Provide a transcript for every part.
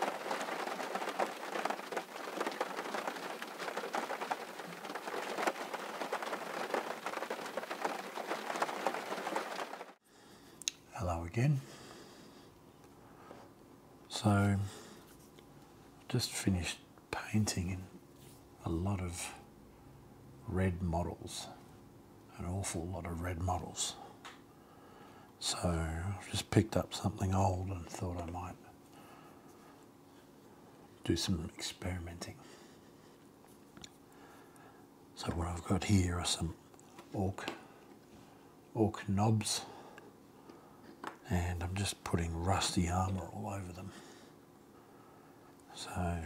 Hello again. So, just finished painting a lot of red models, an awful lot of red models. So I have just picked up something old and thought I might do some experimenting. So what I've got here are some oak orc knobs and I'm just putting rusty armour all over them. So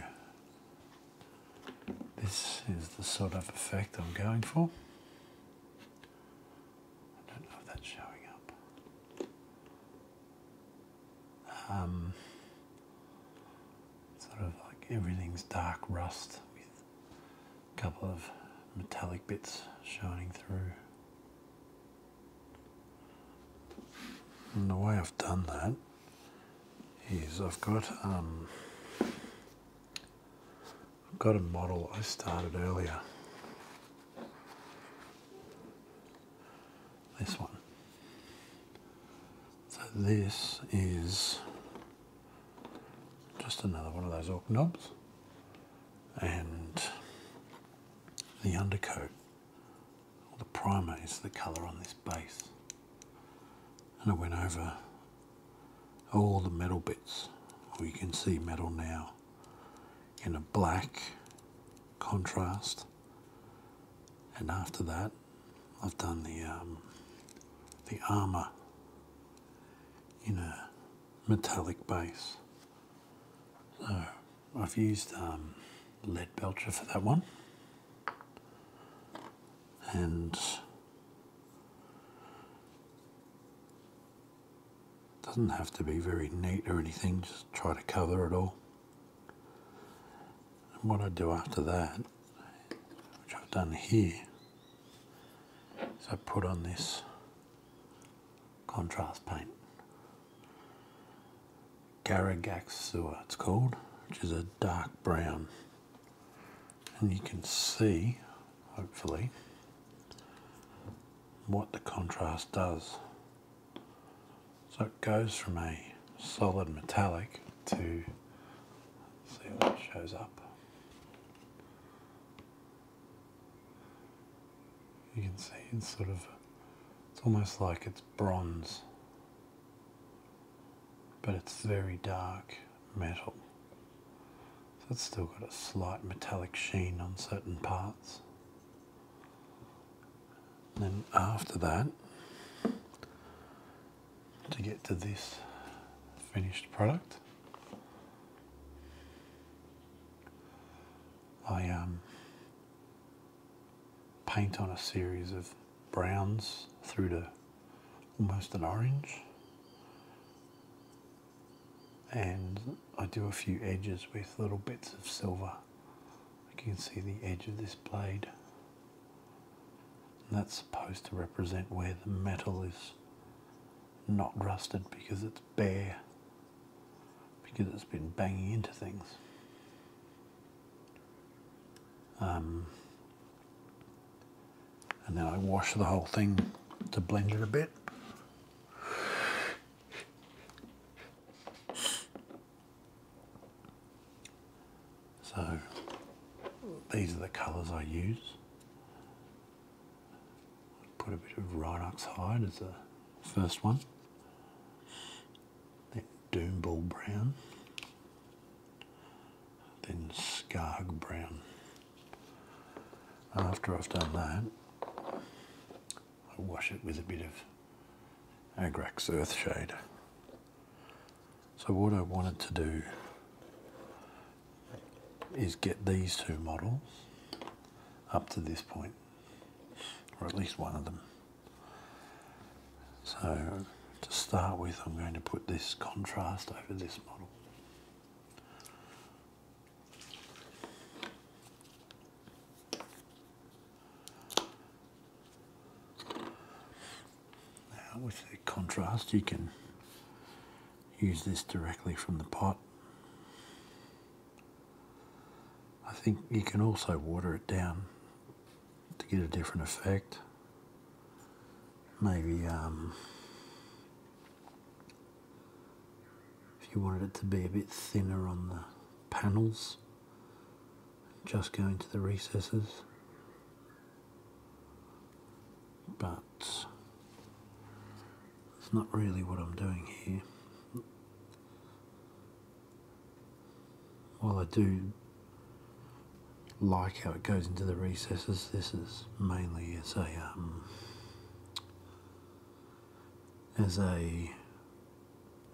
this is the sort of effect I'm going for. I don't know if that's showing up. Um, sort of like everything's dark rust with a couple of metallic bits shining through. And the way I've done that is I've got um, I've got a model I started earlier. This one. So this is just another one of those oak knobs. And the undercoat, or the primer is the colour on this base. And I went over all the metal bits we can see metal now in a black contrast and after that I've done the um, the armor in a metallic base so I've used um, lead belcher for that one and doesn't have to be very neat or anything, just try to cover it all. And what I do after that, which I've done here, is I put on this contrast paint. Garagax Sewer, it's called, which is a dark brown and you can see hopefully what the contrast does so it goes from a solid metallic to see what shows up you can see it's sort of it's almost like it's bronze but it's very dark metal. So it's still got a slight metallic sheen on certain parts. And then after that, to get to this finished product, I um, paint on a series of browns through to almost an orange and I do a few edges with little bits of silver you can see the edge of this blade that's supposed to represent where the metal is not rusted because it's bare because it's been banging into things um, and then I wash the whole thing to blend it a bit. So these are the colours I use. Put a bit of Rhinox hide as the first one. Then Doomball brown. Then Scarg brown. After I've done that, I wash it with a bit of Agrax Earth Shade. So what I wanted to do is get these two models up to this point, or at least one of them. So to start with, I'm going to put this contrast over this model. Now with the contrast you can use this directly from the pot. I think you can also water it down to get a different effect. Maybe um, if you wanted it to be a bit thinner on the panels, just go into the recesses. But it's not really what I'm doing here. While I do like how it goes into the recesses, this is mainly as a um, as a,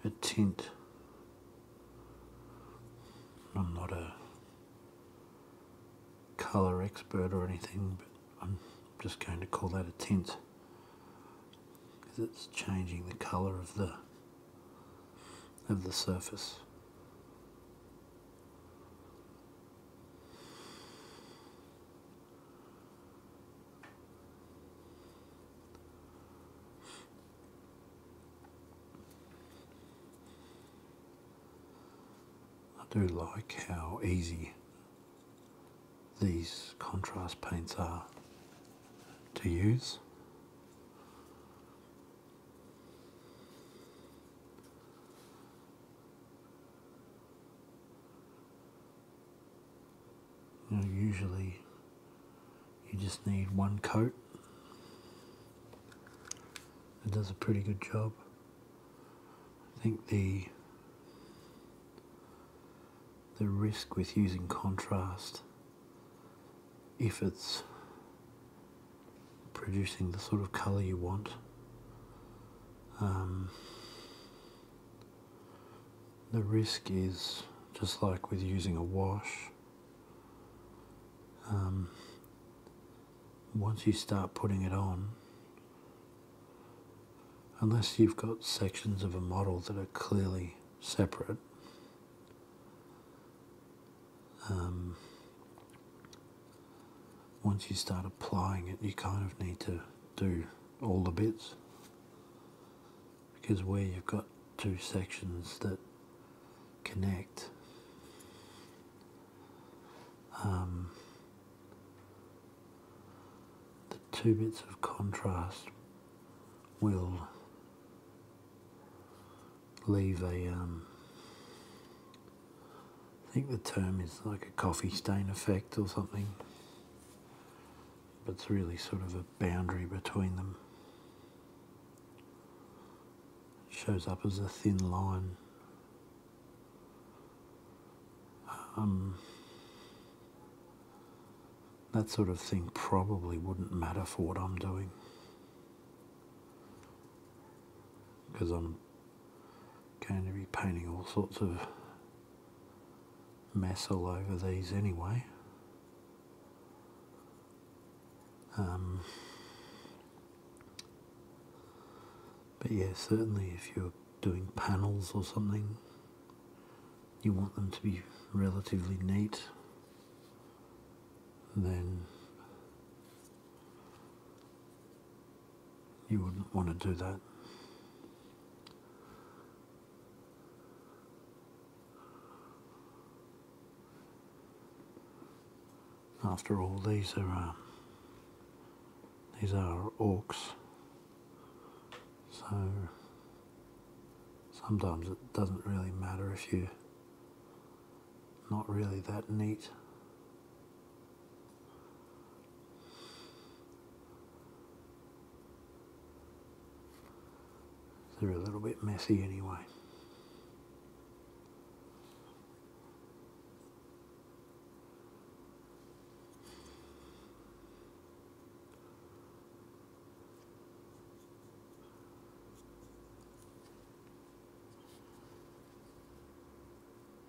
a tint. I'm not a colour expert or anything, but I'm just going to call that a tint because it's changing the colour of the of the surface. I do like how easy these contrast paints are to use usually you just need one coat. It does a pretty good job. I think the the risk with using contrast if it's producing the sort of color you want. Um, the risk is just like with using a wash. Um, once you start putting it on, unless you've got sections of a model that are clearly separate, um, once you start applying it, you kind of need to do all the bits because where you've got two sections that connect um, the two bits of contrast will leave a um, I think the term is like a coffee stain effect or something. But it's really sort of a boundary between them. shows up as a thin line. Um, that sort of thing probably wouldn't matter for what I'm doing because I'm going to be painting all sorts of mess all over these anyway. Um, but yeah, certainly if you're doing panels or something, you want them to be relatively neat, then you wouldn't want to do that. After all, these are uh, these are orcs, so sometimes it doesn't really matter if you're not really that neat. They're a little bit messy anyway.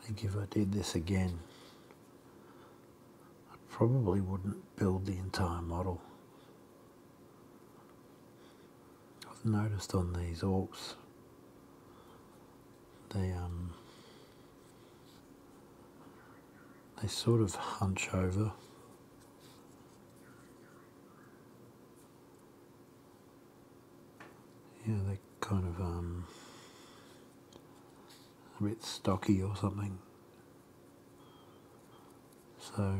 I think if I did this again, I probably wouldn't build the entire model. I've noticed on these orcs, they um, they sort of hunch over yeah, they're kind of um, a bit stocky or something. So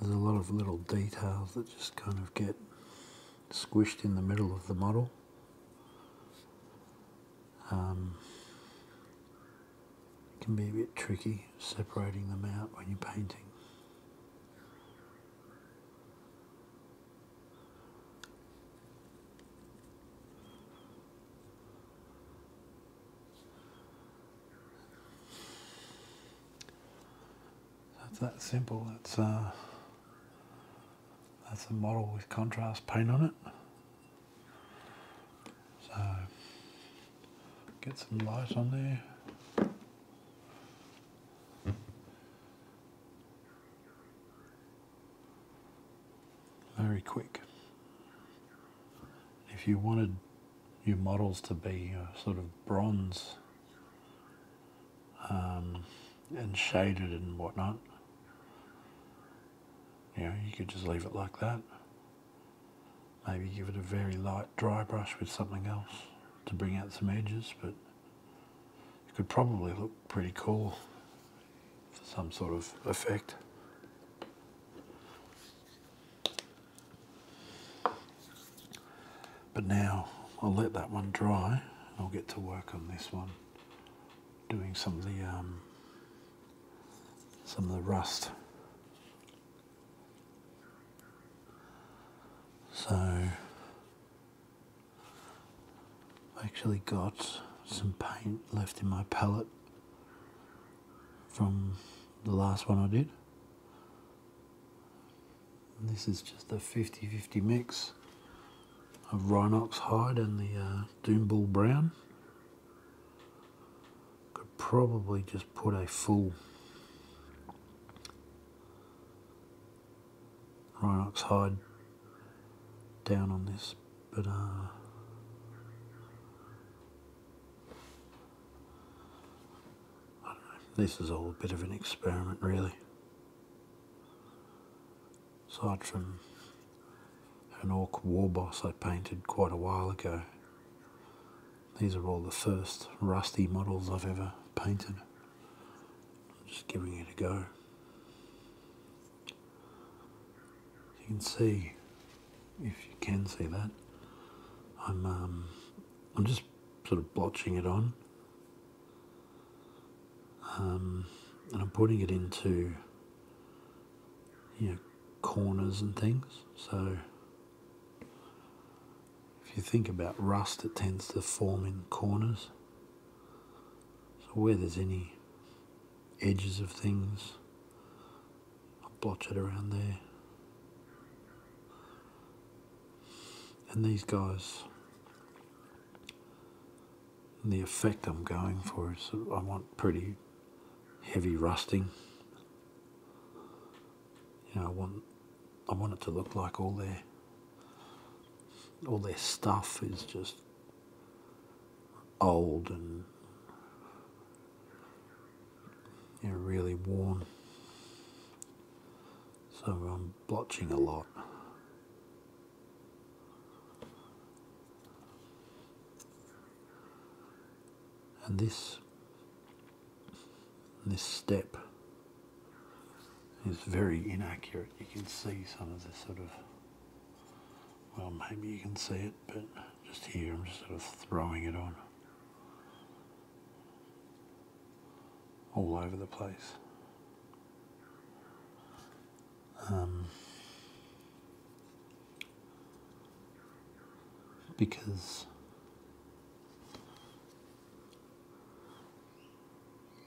there's a lot of little details that just kind of get squished in the middle of the model. Um, it can be a bit tricky separating them out when you're painting. That's that simple. That's uh, that's a model with contrast paint on it. So get some light on there. Very quick. If you wanted your models to be uh, sort of bronze um, and shaded and whatnot, you you could just leave it like that. Maybe give it a very light dry brush with something else to bring out some edges, but it could probably look pretty cool for some sort of effect. But now I'll let that one dry I'll get to work on this one, doing some of the um, some of the rust. So I actually got some paint left in my palette from the last one I did. this is just a 50-50 mix of Rhinox hide and the uh, Brown. Could probably just put a full Rhinox hide down on this, but uh, This is all a bit of an experiment, really. Aside an orc war boss I painted quite a while ago. These are all the first rusty models I've ever painted. I'm just giving it a go. You can see, if you can see that, I'm um, I'm just sort of blotching it on. Um, and I'm putting it into you know, corners and things. So if you think about rust, it tends to form in corners. So where there's any edges of things, i blotch it around there. And these guys, the effect I'm going for is I want pretty heavy rusting. You know, I want I want it to look like all their all their stuff is just old and you know, really worn. So I'm blotching a lot and this this step is very inaccurate. You can see some of the sort of well maybe you can see it but just here I'm just sort of throwing it on all over the place um, because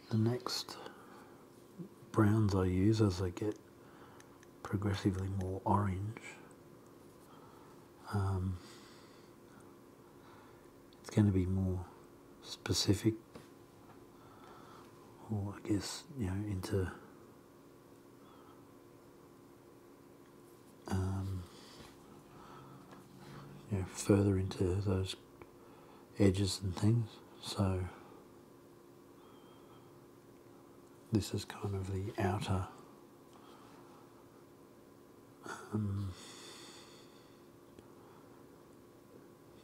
the next browns I use as I get progressively more orange um, it's going to be more specific or I guess you know into um, further into those edges and things. So this is kind of the outer um,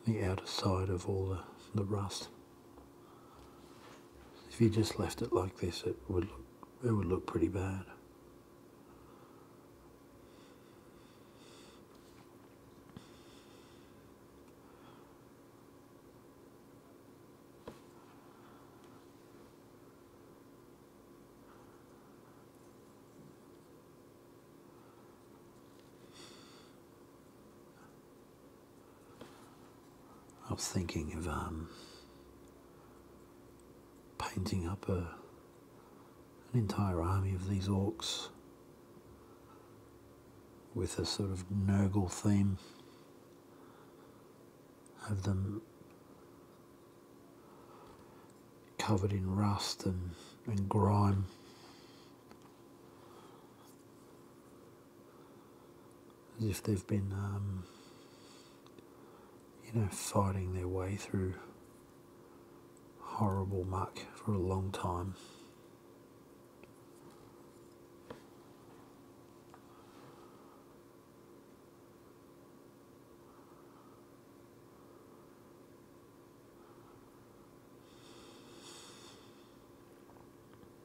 the outer side of all the, the rust. If you just left it like this, it would look, it would look pretty bad. I was thinking of um, painting up a, an entire army of these orcs with a sort of Nurgle theme. Have them covered in rust and, and grime as if they've been, um, you know, fighting their way through horrible muck for a long time.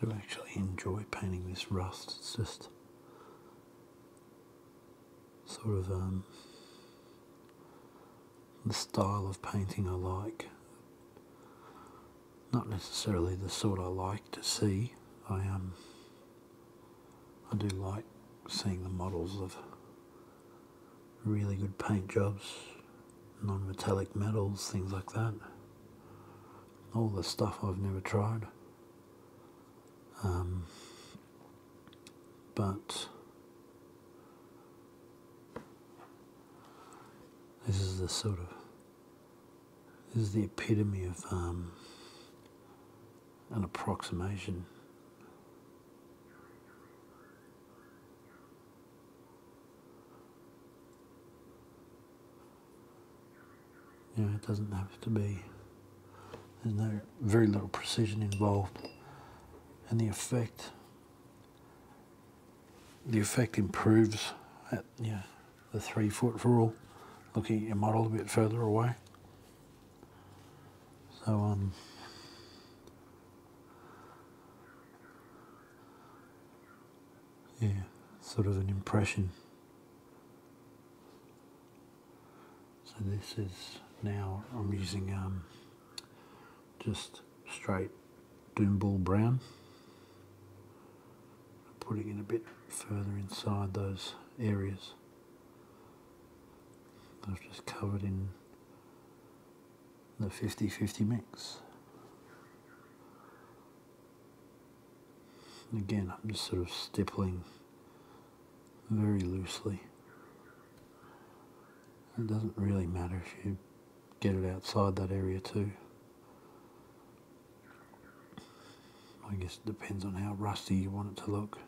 do actually enjoy painting this rust. It's just sort of um, the style of painting I like. Not necessarily the sort I like to see. I um, I do like seeing the models of really good paint jobs, non-metallic metals, things like that. All the stuff I've never tried. Um, but this is the sort of this is the epitome of um, an approximation. You it doesn't have to be, there's no, very little precision involved. And the effect, the effect improves at, you the three foot rule, looking at your model a bit further away. So, um, yeah, sort of an impression. So this is now, I'm using um, just straight Doomball brown. Putting it a bit further inside those areas. I've just covered in the 50-50 mix. again, I'm just sort of stippling very loosely. It doesn't really matter if you get it outside that area too. I guess it depends on how rusty you want it to look.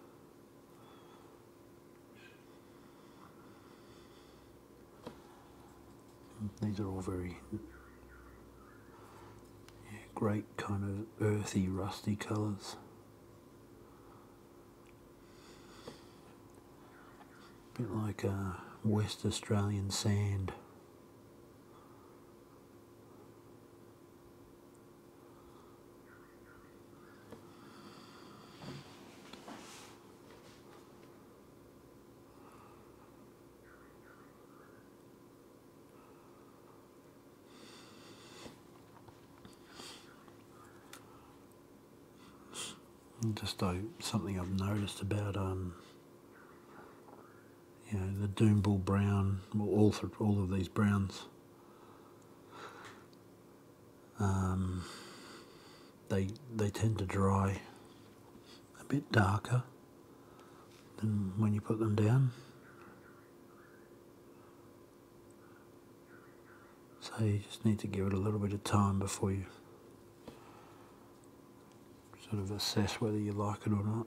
These are all very great kind of earthy, rusty colours. A bit like uh, West Australian sand just something I've noticed about um, you know the Doombull brown, all all of these browns um, they they tend to dry a bit darker than when you put them down. So you just need to give it a little bit of time before you sort of assess whether you like it or not.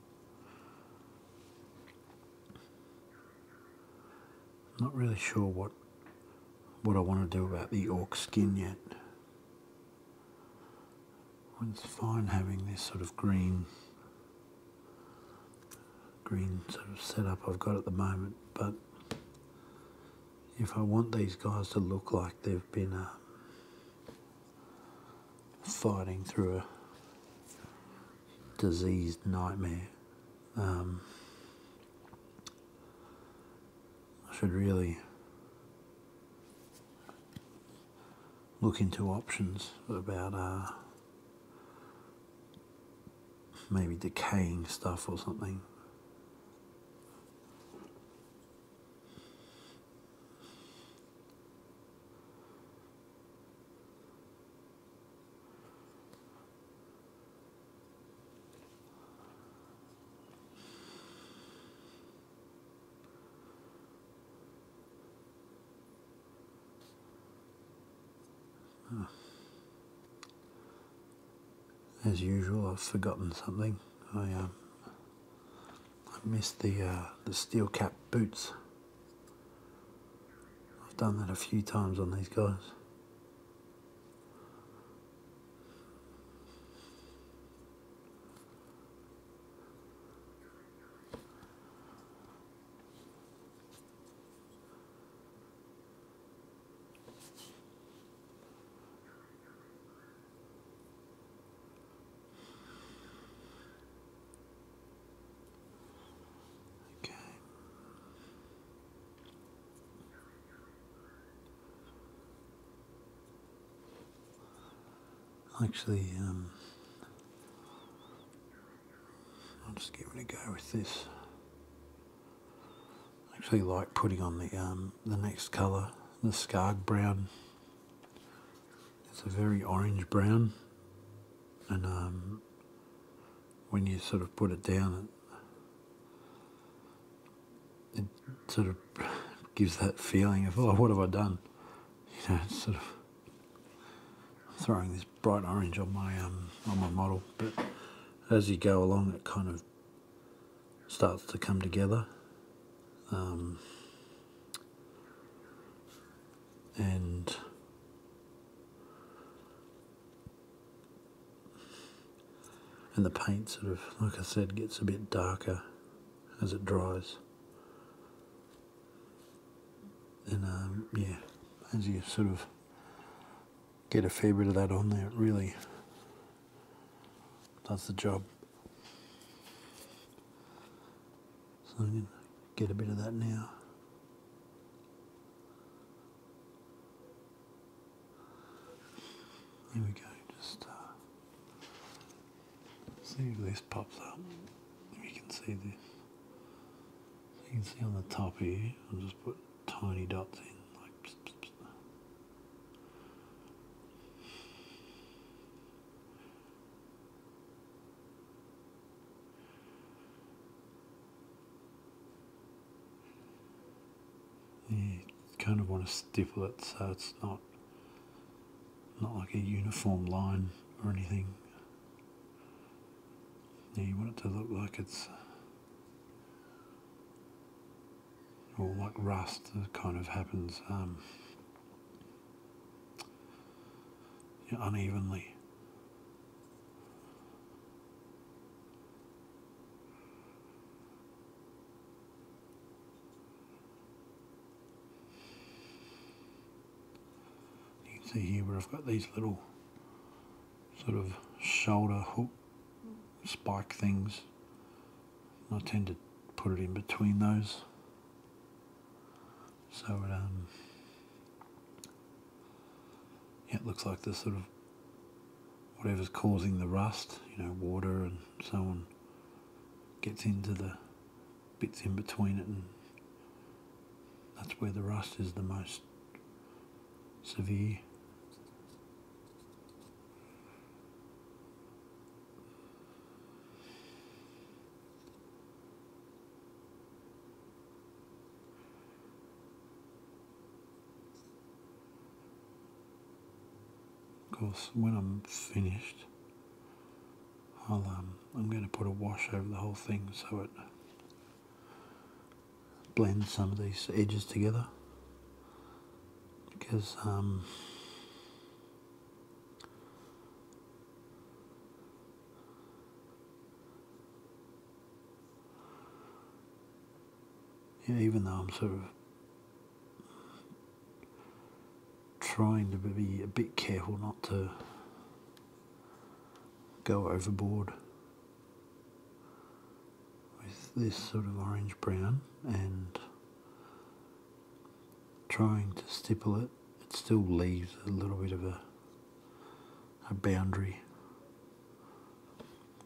I'm not really sure what what I want to do about the orc skin yet. It's fine having this sort of green green sort of setup I've got at the moment, but if I want these guys to look like they've been uh, fighting through a diseased nightmare. Um, I should really look into options about uh, maybe decaying stuff or something. As usual, I've forgotten something. I um, I missed the uh, the steel cap boots. I've done that a few times on these guys. Okay. Actually, um, I'll just give it a go with this. actually like putting on the um, the next colour, the scarred brown. It's a very orange brown, and um, when you sort of put it down, it, sort of gives that feeling of, oh, what have I done? You know, sort of throwing this bright orange on my um, on my model, but as you go along, it kind of starts to come together. Um, and and the paint sort of like I said gets a bit darker as it dries and um, yeah as you sort of get a fair bit of that on there it really does the job so I'm going to get a bit of that now. There we go, just uh, see if this pops up. You can see this. you can see on the top here, I'll just put tiny dots in. like you kind of want to stipple it so it's not not like a uniform line or anything. you want it to look like it's or like rust kind of happens um, unevenly. You can see here where I've got these little sort of shoulder hook spike things. I tend to put it in between those. So um, it looks like the sort of whatever's causing the rust, you know, water and so on, gets into the bits in between it, and that's where the rust is the most severe. Of course, when I'm finished, I'll, um, I'm going to put a wash over the whole thing so it blends some of these edges together because um, even though I'm sort of trying to be a bit careful not to go overboard with this sort of orange brown and trying to stipple it, it still leaves a little bit of a, a boundary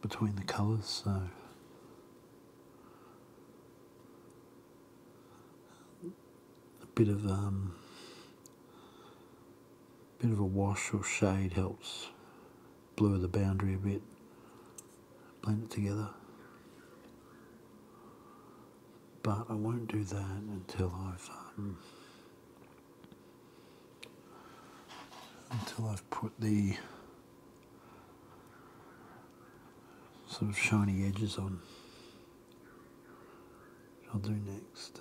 between the colours, so a bit of um, bit of a wash or shade helps blur the boundary a bit, blend it together but I won't do that until I've um, until I've put the sort of shiny edges on. I'll do next.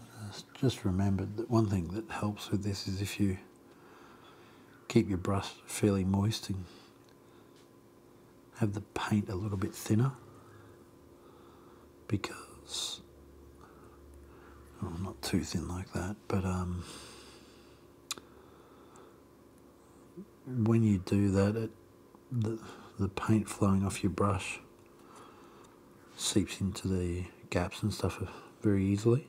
Uh, just remembered that one thing that helps with this is if you Keep your brush fairly moist and have the paint a little bit thinner because well, not too thin like that, but um, when you do that, the paint flowing off your brush seeps into the gaps and stuff very easily.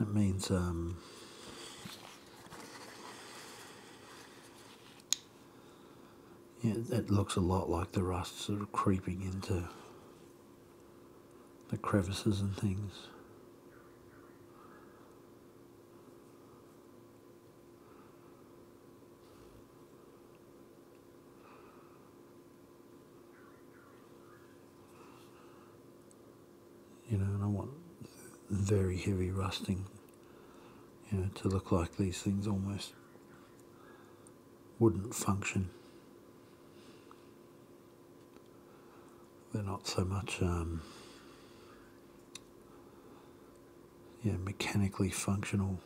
It means um, yeah, it looks a lot like the rust sort of creeping into the crevices and things. You know, and I want very heavy rusting, you know, to look like these things almost wouldn't function. They're not so much, um, yeah, mechanically functional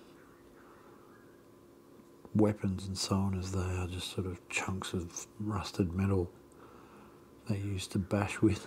weapons and so on as they are just sort of chunks of rusted metal they used to bash with.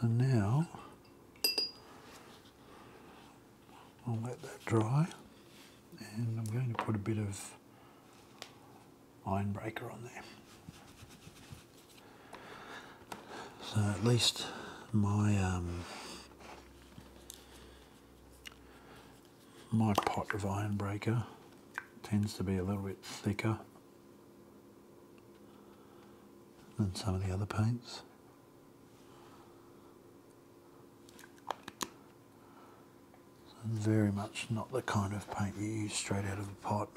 So now I'll let that dry and I'm going to put a bit of ironbreaker on there. So at least my um, my pot of ironbreaker tends to be a little bit thicker than some of the other paints. very much not the kind of paint you use straight out of the pot.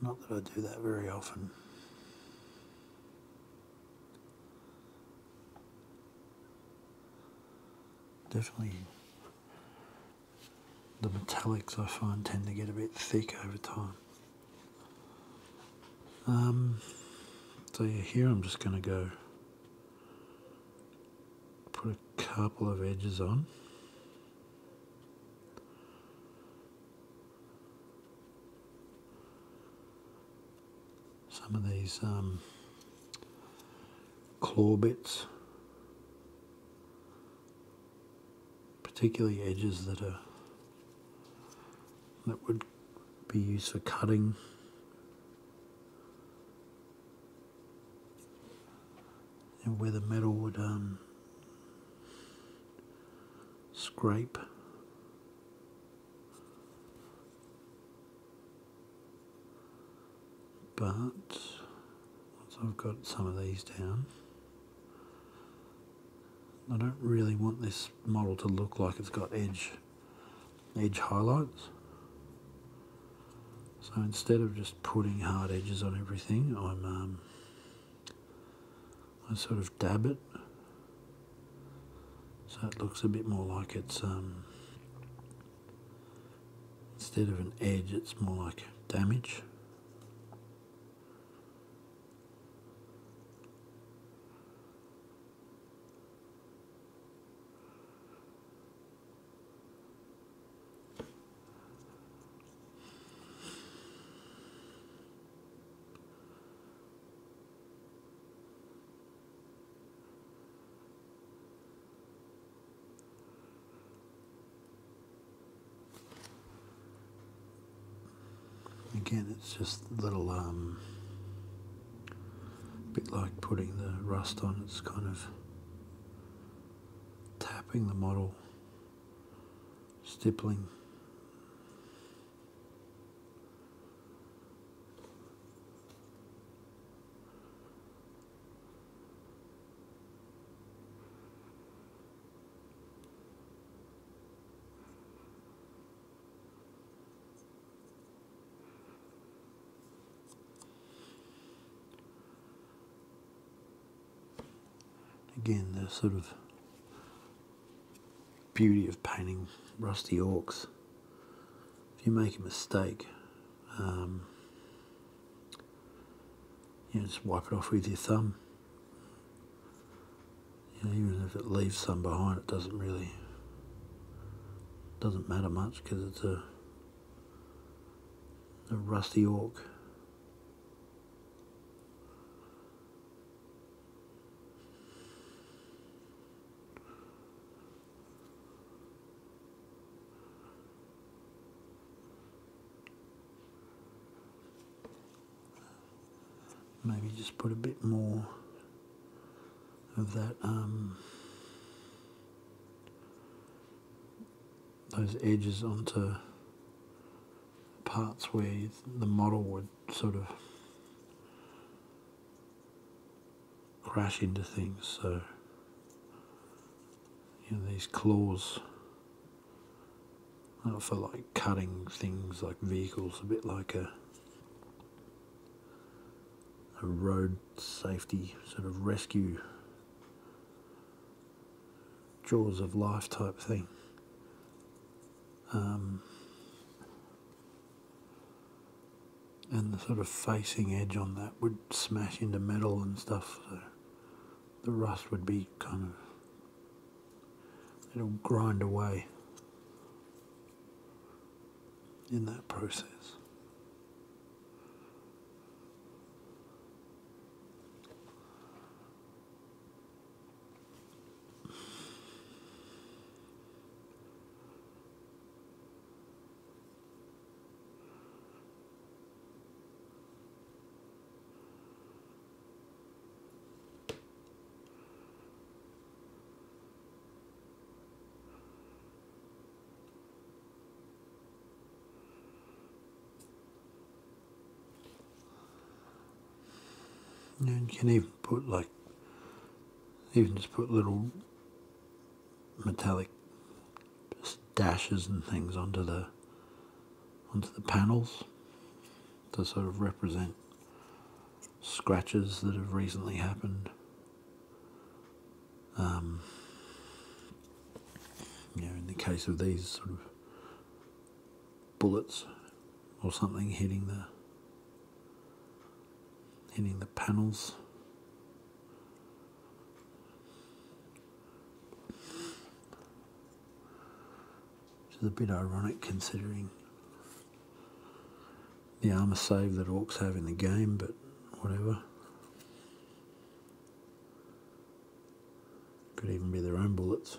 Not that I do that very often. Definitely the metallics I find tend to get a bit thick over time. Um, so yeah, here I'm just going to go put a couple of edges on some of these um, claw bits, particularly edges that are that would be used for cutting. And where the metal would um, scrape but once I've got some of these down I don't really want this model to look like it's got edge edge highlights so instead of just putting hard edges on everything I'm um, I sort of dab it so it looks a bit more like it's um, instead of an edge it's more like damage Again, it's just a little, um, bit like putting the rust on, it's kind of tapping the model, stippling. Again, the sort of beauty of painting rusty orcs if you make a mistake, um, you just wipe it off with your thumb. even if it leaves some behind, it doesn't really doesn't matter much because it's a, a rusty orc maybe just put a bit more of that um, those edges onto parts where the model would sort of crash into things. So, you know, these claws Not for like cutting things like vehicles, a bit like a a road safety sort of rescue jaws of life type thing. Um, and the sort of facing edge on that would smash into metal and stuff so the rust would be kind of it'll grind away in that process you can even put like even just put little metallic dashes and things onto the onto the panels to sort of represent scratches that have recently happened. Um, you know, in the case of these sort of bullets or something hitting the hitting the panels which is a bit ironic considering the armour save that Orcs have in the game, but whatever. Could even be their own bullets.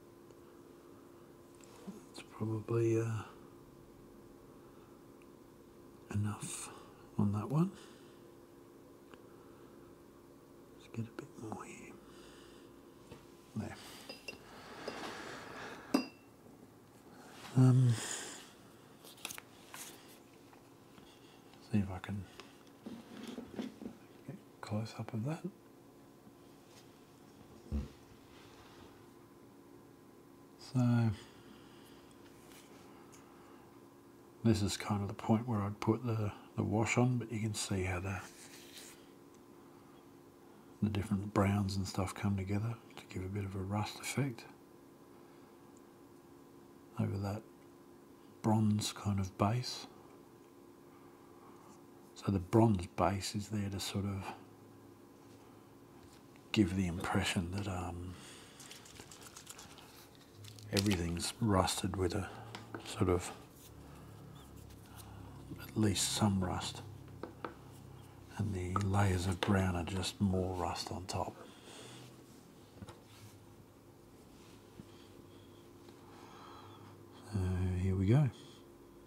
It's probably uh, enough on that one. Let's get a bit more here. There. Um, see if I can get close up of that. So this is kind of the point where I'd put the, the wash on, but you can see how the, the different browns and stuff come together to give a bit of a rust effect over that bronze kind of base. So the bronze base is there to sort of give the impression that um, everything's rusted with a sort of at least some rust and the layers of brown are just more rust on top. So here we go.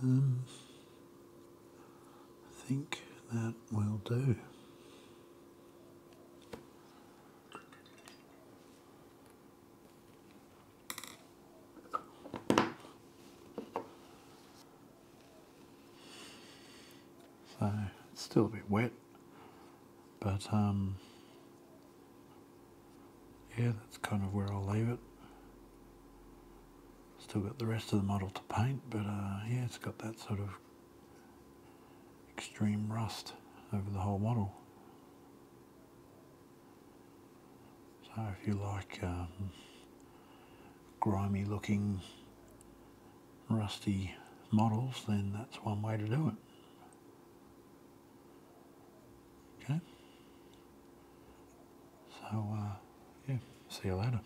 Um, I think that will do. So it's still a bit wet, but um, yeah, that's kind of where I'll leave it. Still got the rest of the model to paint, but uh, yeah, it's got that sort of extreme rust over the whole model. So if you like um, grimy looking rusty models then that's one way to do it. Okay? So uh, yeah, see you later.